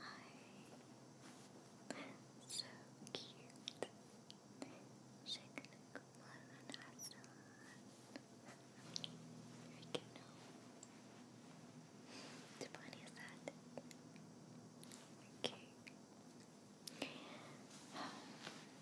Hi. So cute. Shake the one has I can know. Too funny is that? Okay.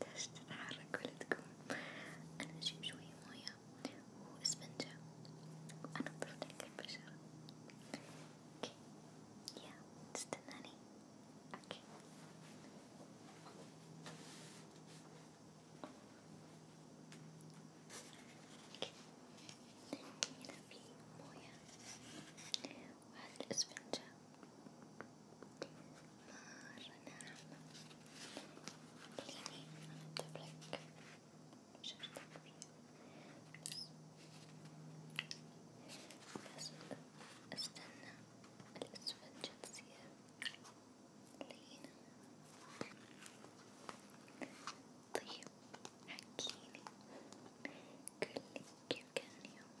تحتاج تتحرك ولا تقوم أنا أجيب شوية موية وإسفنجة وأنظف لك البشرة اوكي يا تستناني اوكي هنا في موية وهذا الإسفنجة خليني أنضف لك شعرك بس استنى الإسفنجة تصير لينة طيب حكيلي قولي كيف كان يومك؟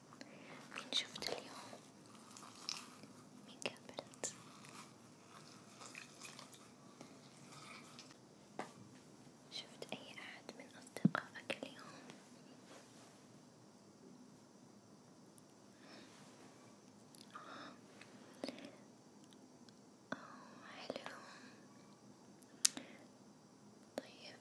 مين شفت اليوم؟ مين قابلت؟ شفت أي أحد من أصدقائك اليوم؟ آه. أوه حلو طيب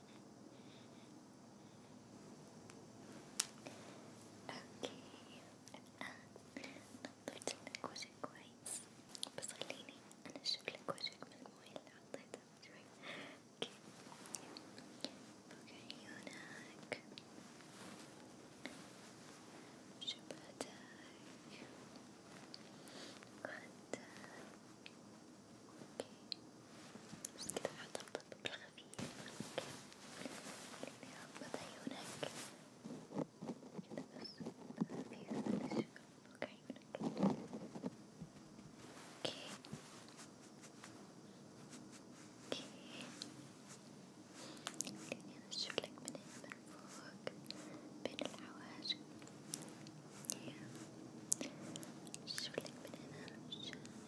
اوكي الان نظفت لك وجهك كويس بس خليني انا اشوف لك وجهك من الموية اللي حطيتها شوي اوكي فوق عيونك شفتك وخدك اوكي بس كده حطبطب بالخفيف خليني أعبط عيونك كده بس خفيف بلاش فوق عيونك اوكي اوكي خليني أنشفلك من هنا من فوق بين الحواجب أنشفلك من هنا عشان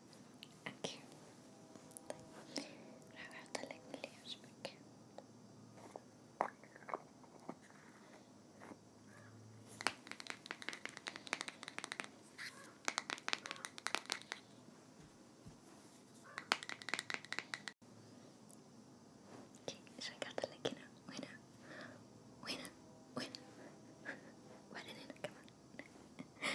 Aquí. Regáltale el lienzo aquí. Okay, regáltale aquí no. Buena. Buena. Buena. Buena nena, come on.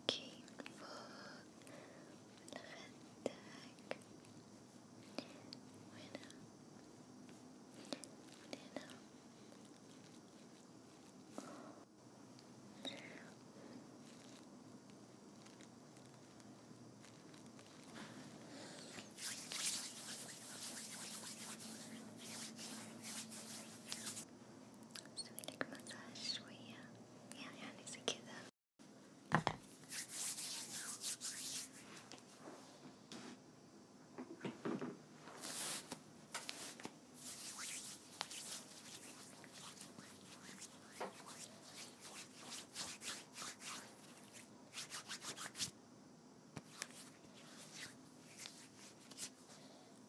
اوكي فوق لخدك وهنا وهنا سويلك مساج شوية يعني زي كذا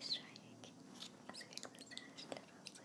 Strike, azıcık mesajlar olsun.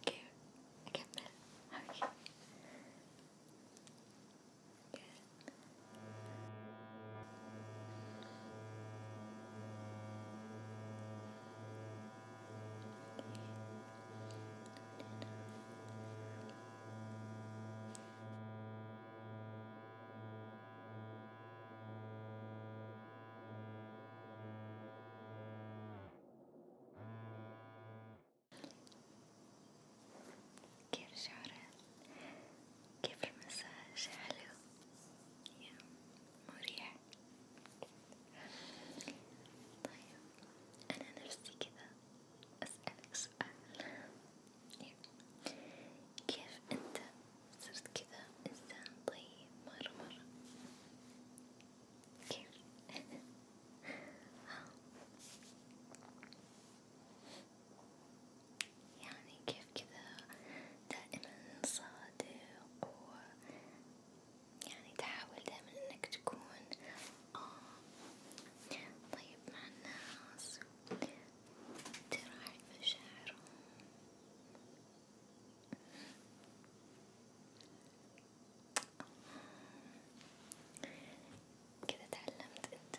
Okay, okay, how are you? Good. Okay. كيف شعرك؟ كيف المساج؟ حلو؟ يا مريح طيب أنا نفسي كذا أسألك سؤال كيف أنت صرت كذا إنسان طيب مرة مرة كيف يعني كيف كذا دائما صادق و يعني تحاول دائما إنك تكون آه طيب مع الناس تراعي مشاعرهم كذا تعلمت انت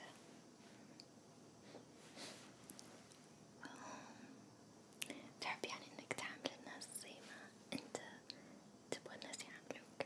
تحب يعني انك تعامل الناس زي ما انت تبغى الناس يعاملوك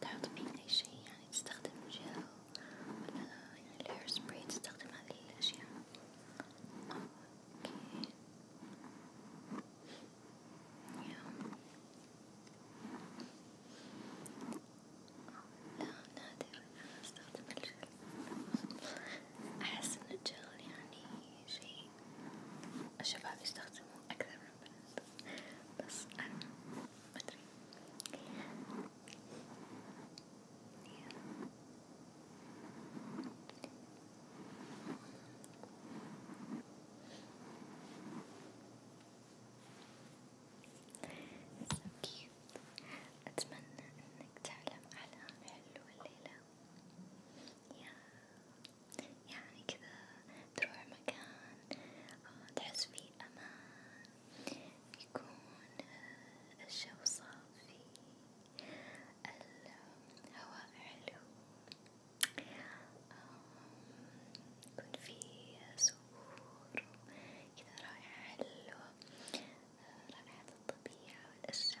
تعرف بين أي شيء يعني تستخدم جل ولا يعني الهير سبراي تستخدم هذه الأشياء اوكي يا لا نادر أنا أستخدم الجل أحس إن الجل يعني شيء الشباب يستخدموه أكثر من البنات بس أنا مدري so cute. أتمنى إنك تعلم أحلام حلوة الليلة يعني كذا تروح مكان آه، تحس فيه أمان يكون آه، الجو صافي الهواء حلو يكون فيه زهور كذا رائحة حلوة آه، رائحة الطبيعة والأشجار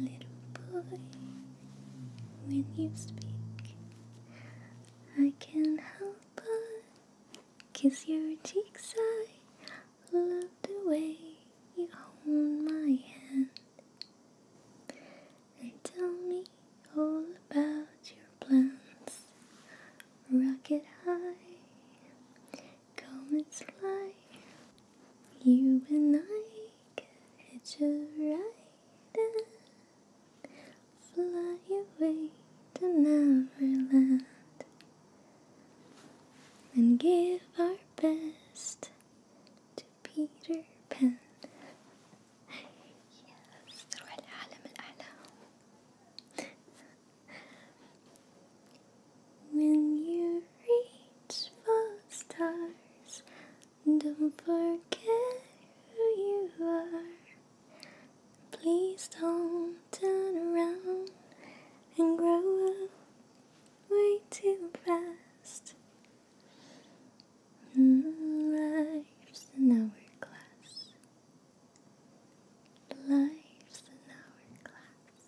Little boy, when you speak, I can't help but kiss your cheeks. I love the way you hold my hand and tell me all about your plans. Rocket high come and fly. You and I could hitch a ride and fly away to Neverland and give our best to Peter Pan. yes, when you reach for stars, don't forget who you are. Please don't turn around and grow up way too fast. Mm, life's an hourglass. Life's an hourglass.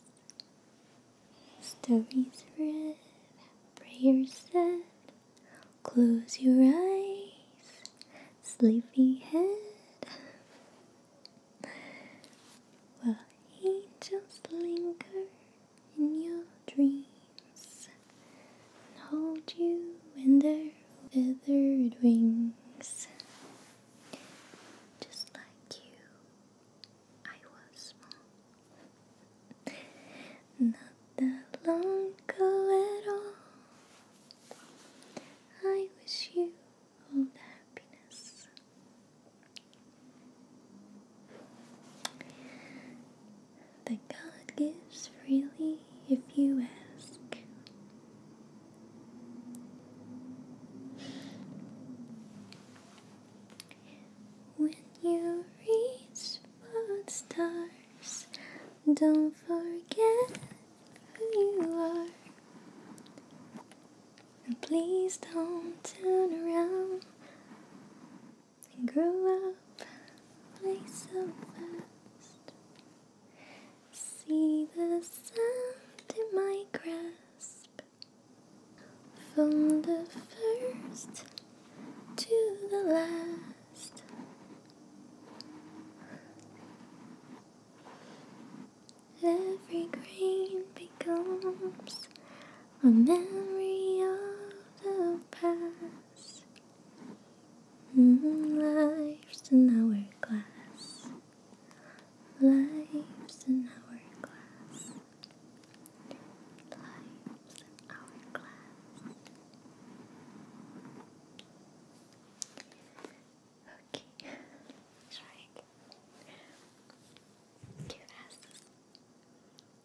Stories read, prayers said. Close your eyes, sleepy head. While angels linger in your dreams and hold you in their feathered wings. Just like you, I was small. Not that long ago at all. I wish you all the happiness. That God gives freely if you ask. When you reach for the stars, don't forget who you are. And please don't turn around and grow up like so fast. See the sand in my grasp From the first to the last Every grain becomes a memory of the past mm, Life's an hourglass Life's an hourglass. Life's an hourglass. Okay, try again. Cute asses.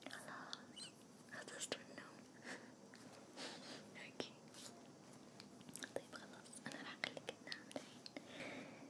Hello. I just don't know. okay. طيب خلاص أنا راح أخليك تنام الحين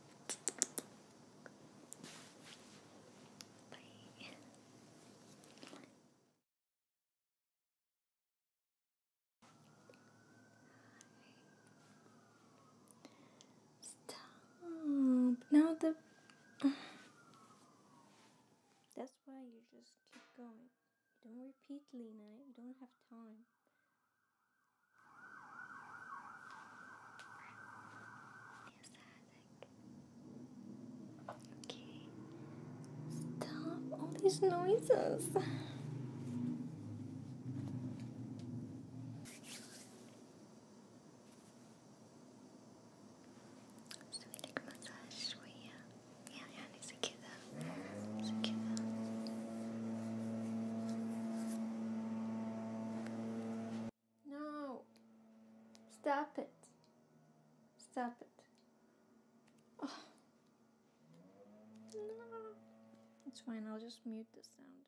Stop. Now the. That's why you just keep going. Don't repeat, Lena. don't have time okay? Stop all these noises. Sweet massage, we uh, yeah, yeah, yeah, no. Stop it. Stop it. Oh. No. It's fine. I'll just mute the sound.